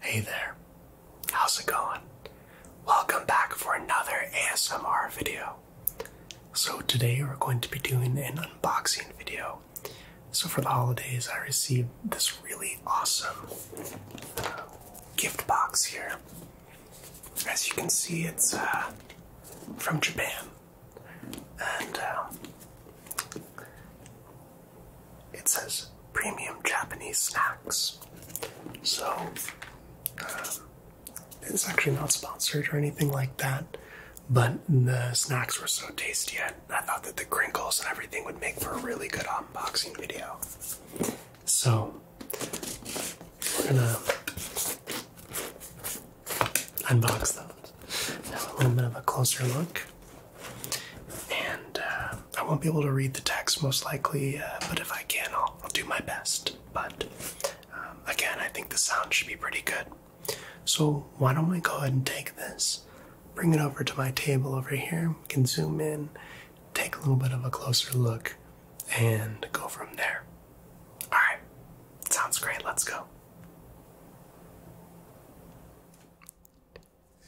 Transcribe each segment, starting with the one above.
Hey there, how's it going? Welcome back for another ASMR video. So, today we're going to be doing an unboxing video. So, for the holidays, I received this really awesome uh, gift box here. As you can see, it's uh, from Japan. And um, it says premium Japanese snacks. So, um, it's actually not sponsored or anything like that, but the snacks were so tasty. I, I thought that the crinkles and everything would make for a really good unboxing video. So, we're gonna unbox those. Now, a little bit of a closer look. And uh, I won't be able to read the text most likely, uh, but if I can, I'll, I'll do my best. But um, again, I think the sound should be pretty good. So, why don't we go ahead and take this, bring it over to my table over here, we can zoom in, take a little bit of a closer look, and go from there. Alright, sounds great, let's go.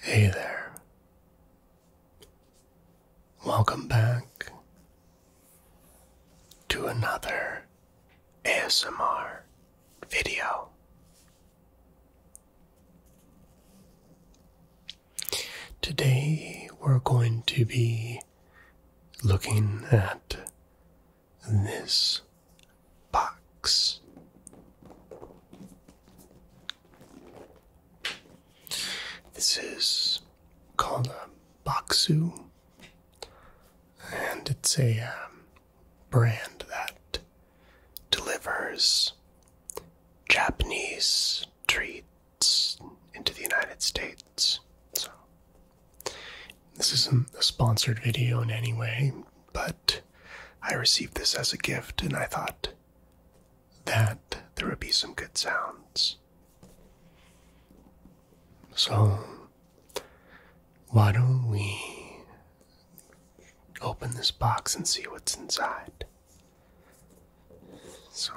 Hey there. Welcome back to another ASMR video. Today we're going to be looking at this box. This is called a Baksu, and it's a um, brand that delivers Japanese treats into the United States. So, this isn't a sponsored video in any way, but I received this as a gift and I thought that there would be some good sounds. So, why don't we open this box and see what's inside? So,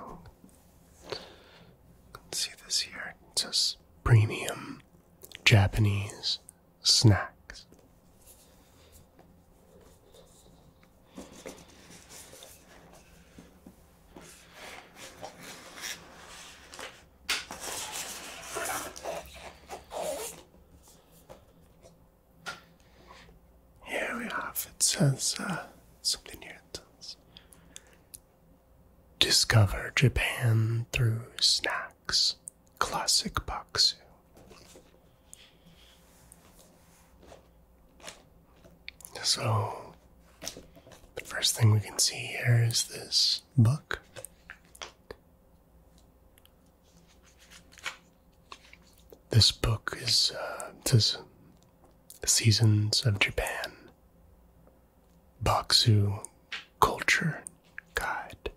let's see this here. It says premium Japanese snacks. Here we have it says uh, something here it says discover Japan through snacks classic Baksu. So, the first thing we can see here is this book. This book is uh, Seasons of Japan Boxu Culture Guide.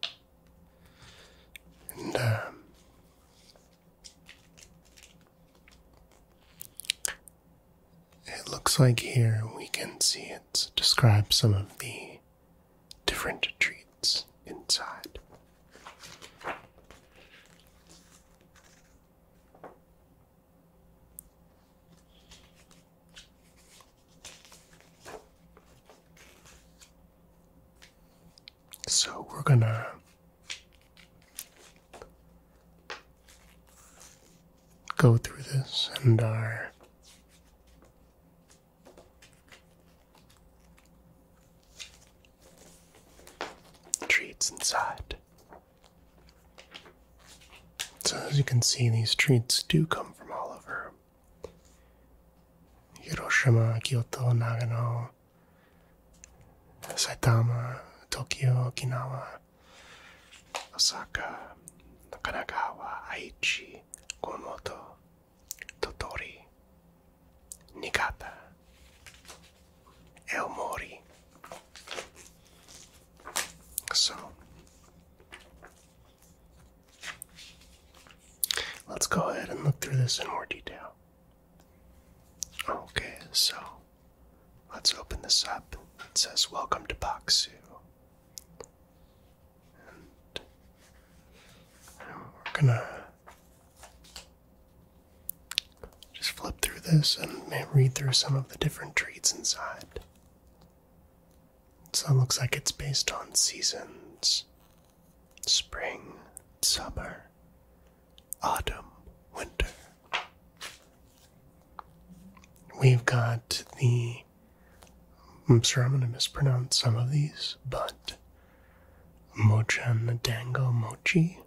Um, it looks like here we can see it describe some of the different treats inside. So we're gonna go through this and our treats inside. So, as you can see, these treats do come from all over. Hiroshima, Kyoto, Nagano, Saitama, Tokyo, Okinawa, Osaka, Kanagawa, Aichi, Kumamoto, Totori, Niigata, El Mori. So, Let's go ahead and look through this in more detail. Okay, so let's open this up. It says, Welcome to Boxu. And we're gonna just flip through this and read through some of the different treats inside. So it looks like it's based on seasons spring, summer, autumn, winter. We've got the. I'm sure I'm going to mispronounce some of these, but and Dango Mochi.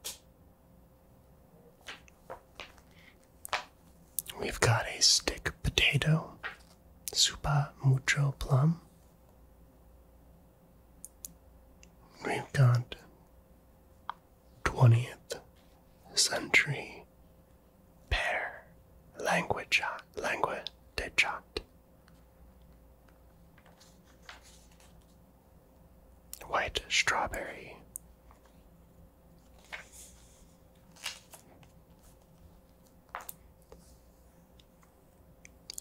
We've got a stick potato, super Mucho Plum. We've got 20th century pear language language de White strawberry.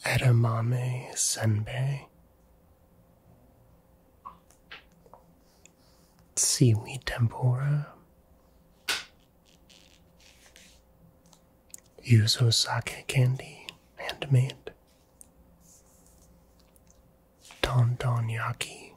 Edamame Senbei. Seaweed tempura. Yuzu sake candy, handmade. Don Don Yaki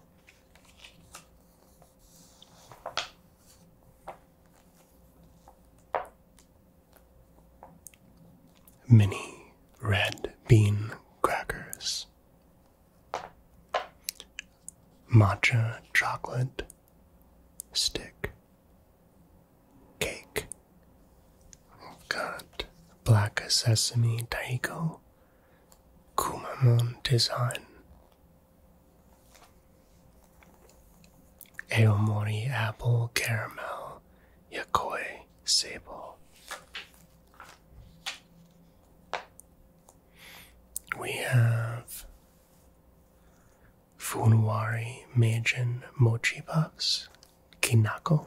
mini red bean crackers, matcha chocolate stick cake. got black sesame taiko, kumamon design, Aomori Apple Caramel Yakoi Sable. We have Funwari Meijin Mochi Box Kinako.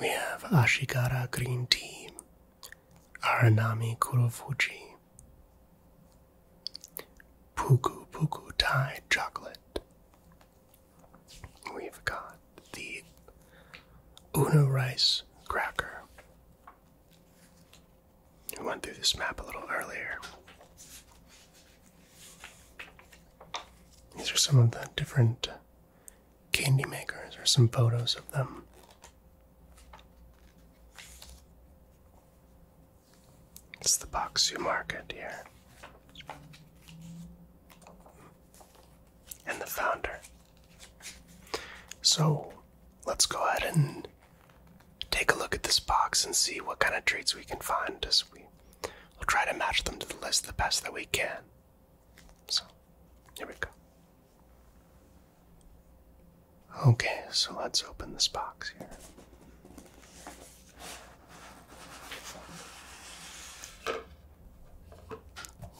We have Ashigara Green Tea Aranami Kurofuji Puku Puku Thai chocolate. We've got the Una rice cracker. We went through this map a little earlier. These are some of the different candy makers, or some photos of them. It's the Boxu Market here. And the founder. So let's go ahead and take a look at this box and see what kind of treats we can find as we will try to match them to the list the best that we can. So here we go. Okay, so let's open this box here.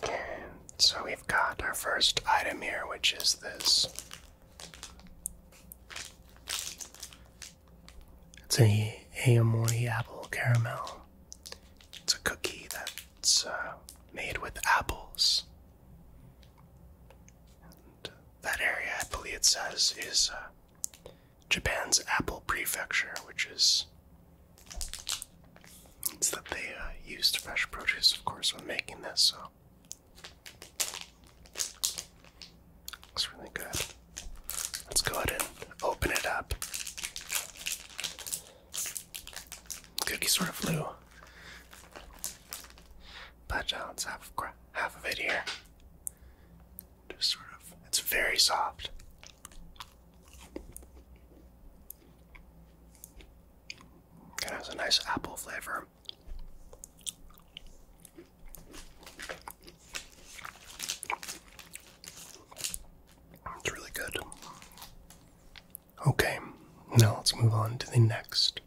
And so we've got our first item here, which is this. It's a Aomori apple caramel. It's a cookie that's uh, made with apples that area, I believe it says, is uh, Japan's Apple Prefecture, which is it's that they uh, used fresh produce, of course, when making this. So. Looks really good. Let's go ahead and open it up. Cookie sort of flew. But uh, let have half of it here. Just sort of, it's very soft. It has a nice apple flavor. It's really good. Okay, now let's move on to the next.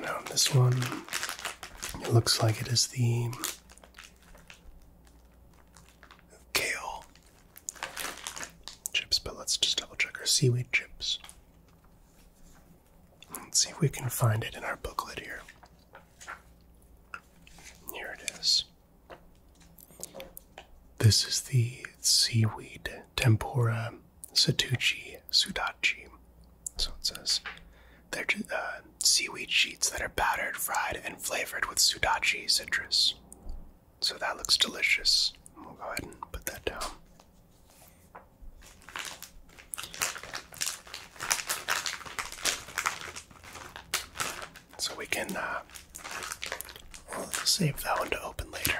Now, this one, it looks like it is the kale chips, but let's just double check our seaweed chips. Let's see if we can find it in our booklet here. Here it is. This is the seaweed tempura satuchi sudachi. So it says they're uh, seaweed sheets that are battered, fried, and flavored with sudachi citrus. So that looks delicious. We'll go ahead and put that down. So we can uh, save that one to open later.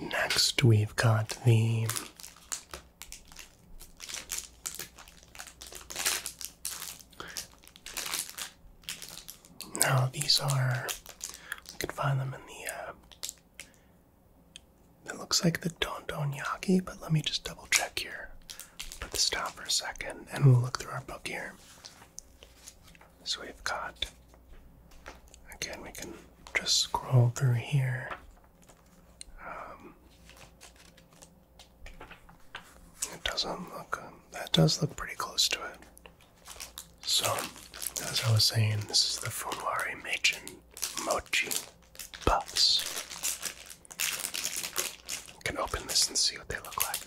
Next, we've got the now these are we can find them in the uh, it looks like the don don yaki but let me just double check here put this down for a second and we'll look through our book here. So we've got, again, we can just scroll through here. Um, it doesn't look, that does look pretty close to it. So, as I was saying, this is the Funwari Meijin Mochi puffs. I can open this and see what they look like.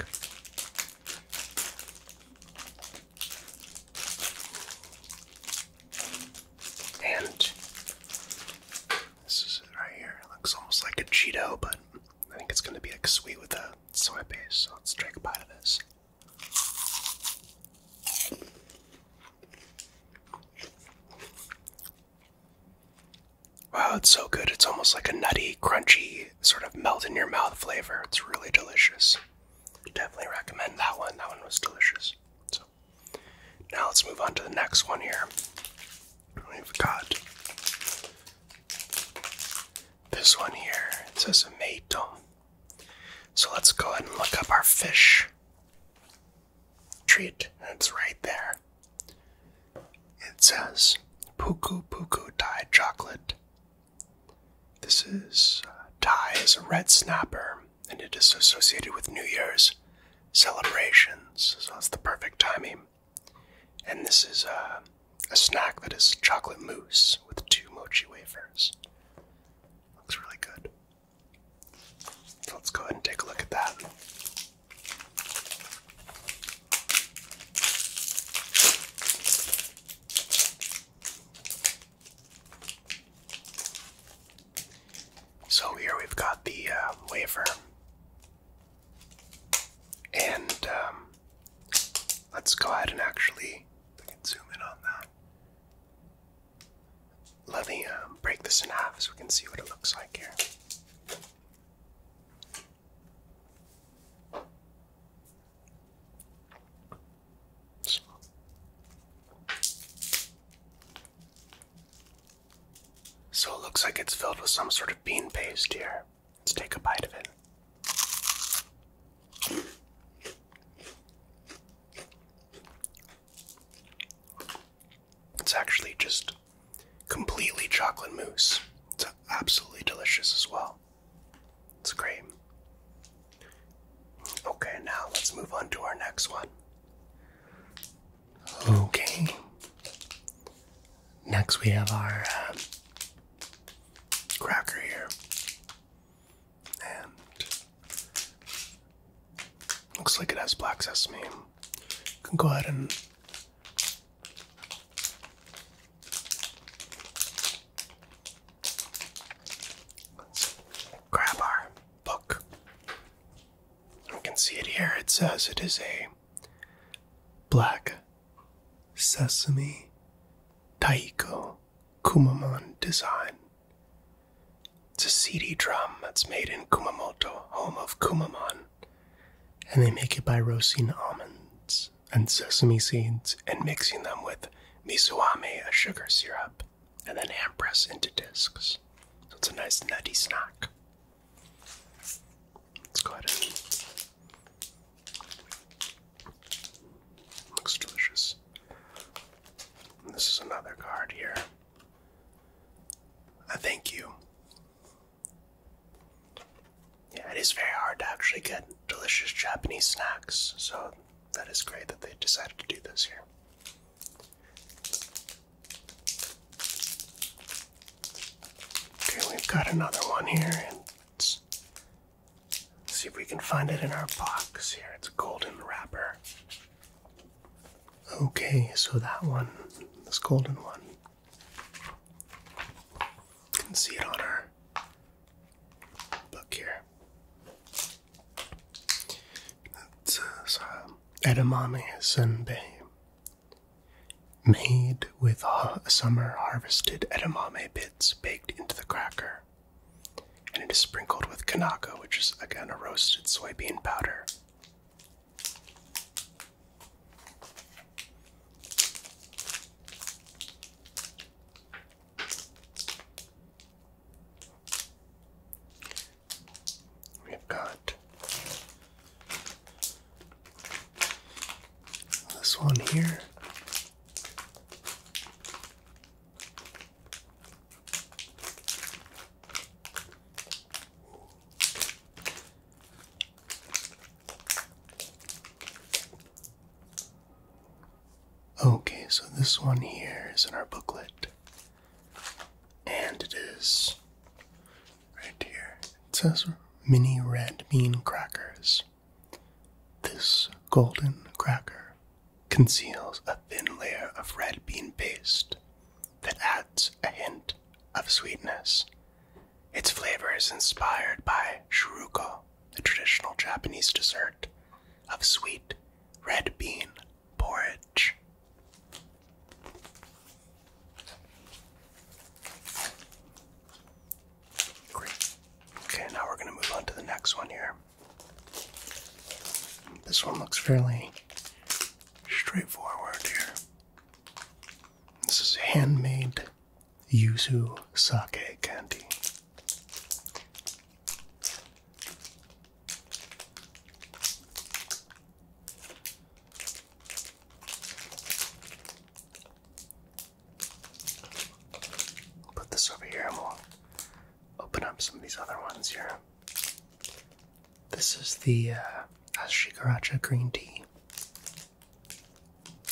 And this is it right here. It looks almost like a Cheeto, but I think it's going to be like sweet with a soy base. So let's drink a bite of this. Wow, it's so good. It's almost like a nutty, crunchy, sort of melt in your mouth flavor. It's really delicious. Definitely recommend that one. That one was delicious. So now let's move on to the next one here. We've got this one here. It says a meiton. So let's go ahead and look up our fish treat. It's right there. It says Puku Puku Thai chocolate. This is uh, is a red snapper, and it is associated with New Year's celebrations, so it's the perfect timing. And this is uh, a snack that is chocolate mousse with two mochi wafers. Looks really good. let's go ahead and take a look at that. So here we've got the uh, wafer, and um, let's go ahead and actually zoom in on that let me um, break this in half so we can see what it looks like here. So. so it looks like it's filled with some sort of bean paste here. Let's take a bite of it. It's actually just completely chocolate mousse. It's absolutely delicious as well. It's great. Okay, now let's move on to our next one. Okay. Next, we have our um, cracker here. And Looks like it has black sesame. You can go ahead and grab our book. You can see it here. It says it is a black sesame taiko kumamon design. It's a seedy drum that's made in Kumamoto, home of Kumamon. And they make it by roasting almonds and sesame seeds and mixing them with misuame, a sugar syrup, and then hand press into discs. So it's a nice nutty snack. Let's go ahead Looks delicious. this is another card here. I thank you. Yeah, it is very hard to actually get delicious Japanese snacks, so that is great that they decided to do this here. Okay, we've got another one here, and let's see if we can find it in our box here. It's a golden wrapper. Okay, so that one, this golden one, you can see it on our book here. It's uh, edamame senbei, made with summer harvested edamame bits baked into the cracker, and it is sprinkled with kanaka, which is again a roasted soybean powder. We've got this one here. Okay, so this one here is in our booklet. And it is right here. It says mini red bean crackers. This golden cracker conceals a thin layer of red bean paste that adds a hint of sweetness. Its flavor is inspired by shiruko, the traditional Japanese dessert of sweet red bean porridge. Okay, now we're going to move on to the next one here. This one looks fairly straightforward here. This is handmade yuzu sake candy. Put this over here and we'll open up some of these other ones here. This is the uh, Ashikaracha green tea.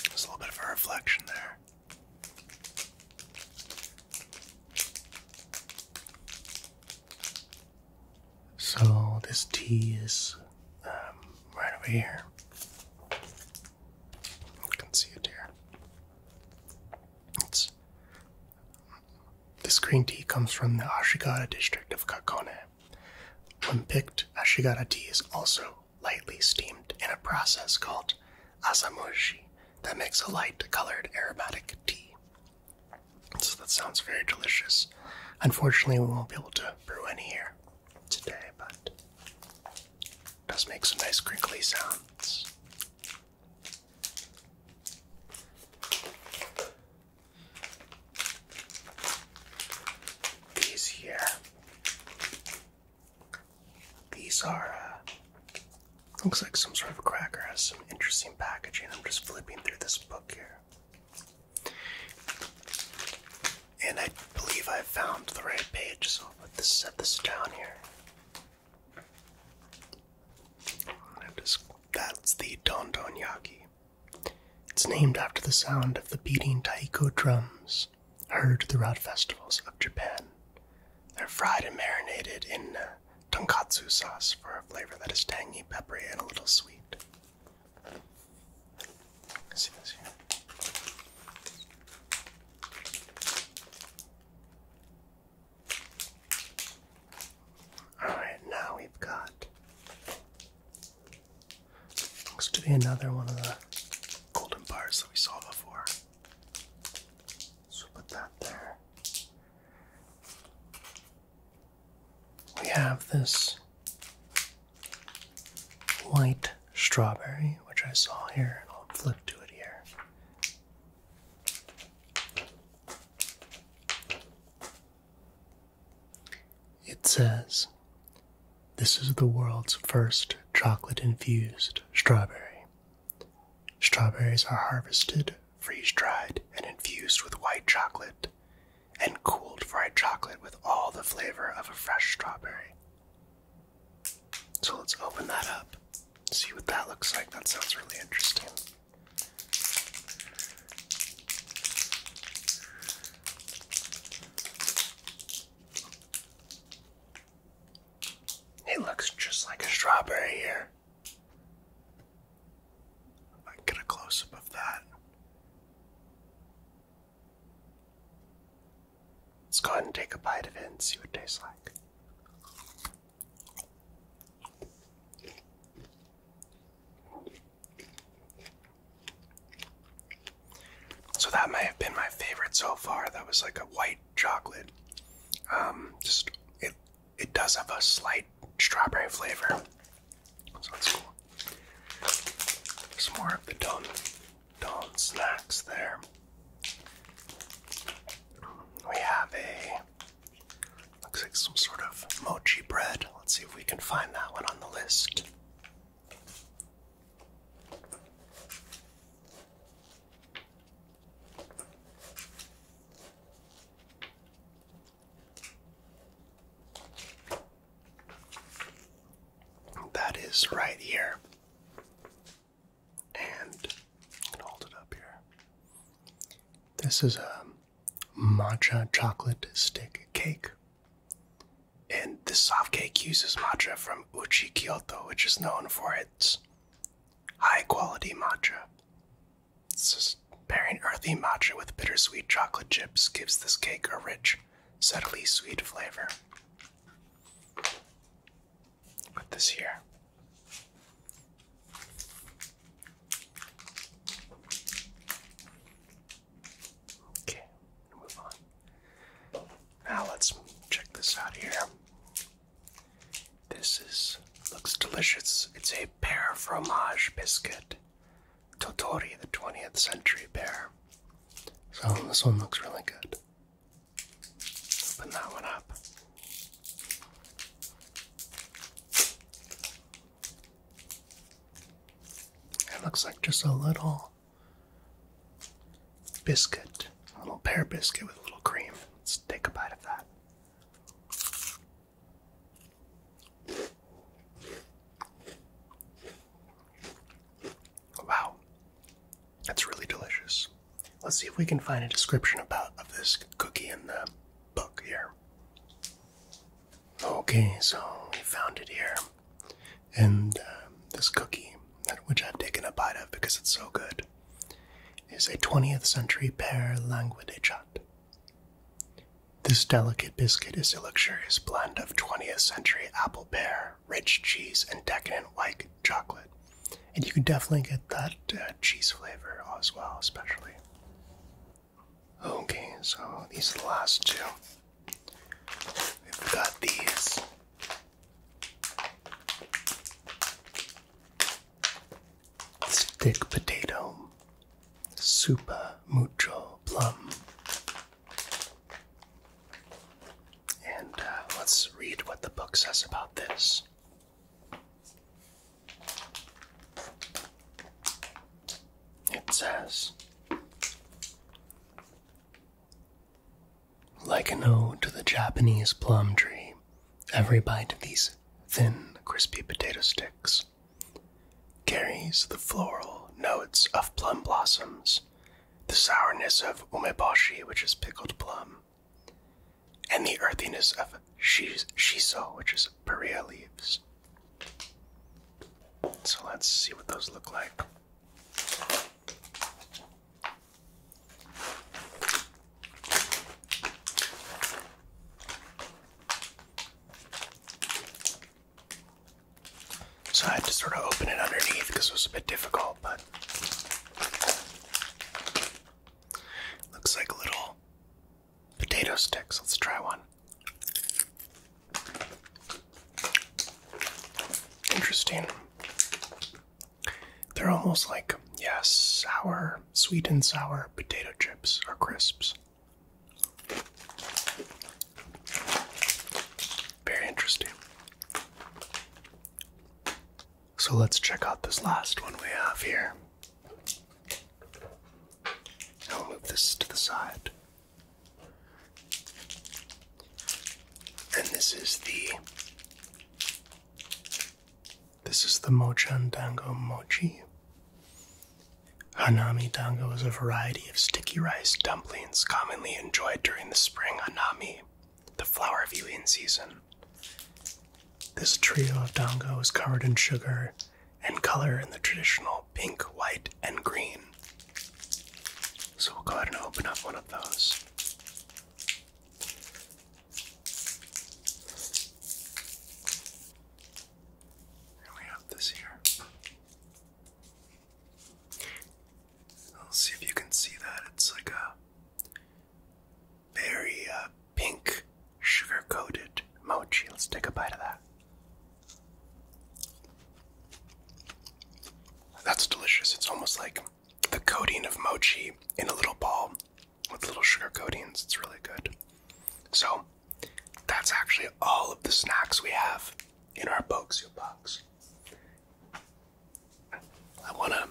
There's a little bit of a reflection there. So this tea is um, right over here. You can see it here. It's this green tea comes from the Ashigara district of Kakone. When picked, Ashigara tea is also lightly steamed in a process called asamushi that makes a light colored aromatic tea. So that sounds very delicious. Unfortunately, we won't be able to brew any here today, but does make some nice crinkly sounds. These here, these are, uh, looks like some sort of a cracker, has some interesting packaging. I'm just flipping through this book here. And I believe I found the right page, so I'll put this, set this down here. That's the dondonyaki. It's named after the sound of the beating taiko drums heard throughout festivals of Japan. They're fried and marinated in uh, tonkatsu sauce for a flavor that is tangy, peppery, and a little sweet. Alright, now we've got. Looks to be another one of the golden bars that we saw before. So put that there. We have this white strawberry, which I saw here, and I'll flip to it here. It says, This is the world's first chocolate infused strawberry. Strawberries are harvested, freeze dried, and infused with white chocolate, and cooled fried chocolate with all the flavor of a fresh strawberry. So let's open that up, see what that looks like. That sounds really interesting. It looks just like a strawberry here. I get a close up of that. Let's go ahead and take a bite of it and see what it tastes like. So that may have been my favorite so far. That was like a white chocolate. Um, just it it does have a slight strawberry flavor. So that's cool. Some more of the Don Don snacks there. We have a Looks like some sort of mochi bread. Let's see if we can find that one on the list. That is right here. And hold it up here. This is a matcha chocolate stick cake. And this soft cake uses matcha from Uchi Kyoto, which is known for its high quality matcha. pairing earthy matcha with bittersweet chocolate chips gives this cake a rich, subtly sweet flavor. Put this here. Okay, move on. Now let's check this out here. This is looks delicious. It's a pear fromage biscuit. Totori, the 20th century pear. So this one looks really good. Open that one up. It looks like just a little biscuit, a little pear biscuit with a little cream. Let's take a bite of that. Wow, that's really delicious. Let's see if we can find a description about of this cookie in the book here. Okay, so we found it here. And um, this cookie, which I've taken a bite of because it's so good, is a 20th century pear languidechat. This delicate biscuit is a luxurious blend of 20th century apple pear, rich cheese, and decadent white chocolate and you can definitely get that uh, cheese flavor as well, especially. Okay, so these are the last two. We've got these. Stick potato, super mucho plum. And uh, let's read what the book says about this. It says, like a ode to the Japanese plum tree, every bite of these thin, crispy potato sticks carries the floral notes of plum blossoms, the sourness of umeboshi, which is pickled plum, and the earthiness of shis shiso, which is Perea leaves. So let's see what those look like. So I had to sort of open it underneath because it was a bit difficult, but Looks like little potato sticks. Let's try one. Interesting. They're almost like, yes, sour, sweet and sour potato chips or crisps. Very interesting. So let's check out this last one we have here. I'll move this to the side. And this is the this is the Mochan Dango Mochi. Hanami dango is a variety of sticky rice dumplings commonly enjoyed during the spring hanami, the flower viewing season. This trio of dango is covered in sugar and color in the traditional pink, white, and green. So we'll go ahead and open up one of those. And we have this here. Let's see if you can see that. It's like a very uh, pink, sugar coated mochi. Let's take a bite of that. That's delicious. It's almost like the coating of mochi in a little ball with little sugar coatings. It's really good. So, that's actually all of the snacks we have in our Boxio box. I want to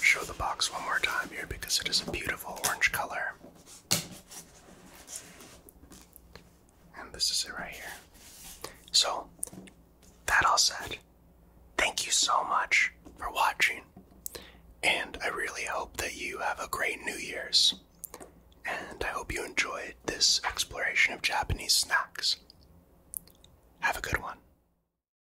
show the box one more time here because it is a beautiful orange color. And this is it right here. So, that all said, thank you so much for watching. And I really hope that you have a great New Year's. And I hope you enjoyed this exploration of Japanese snacks. Have a good one.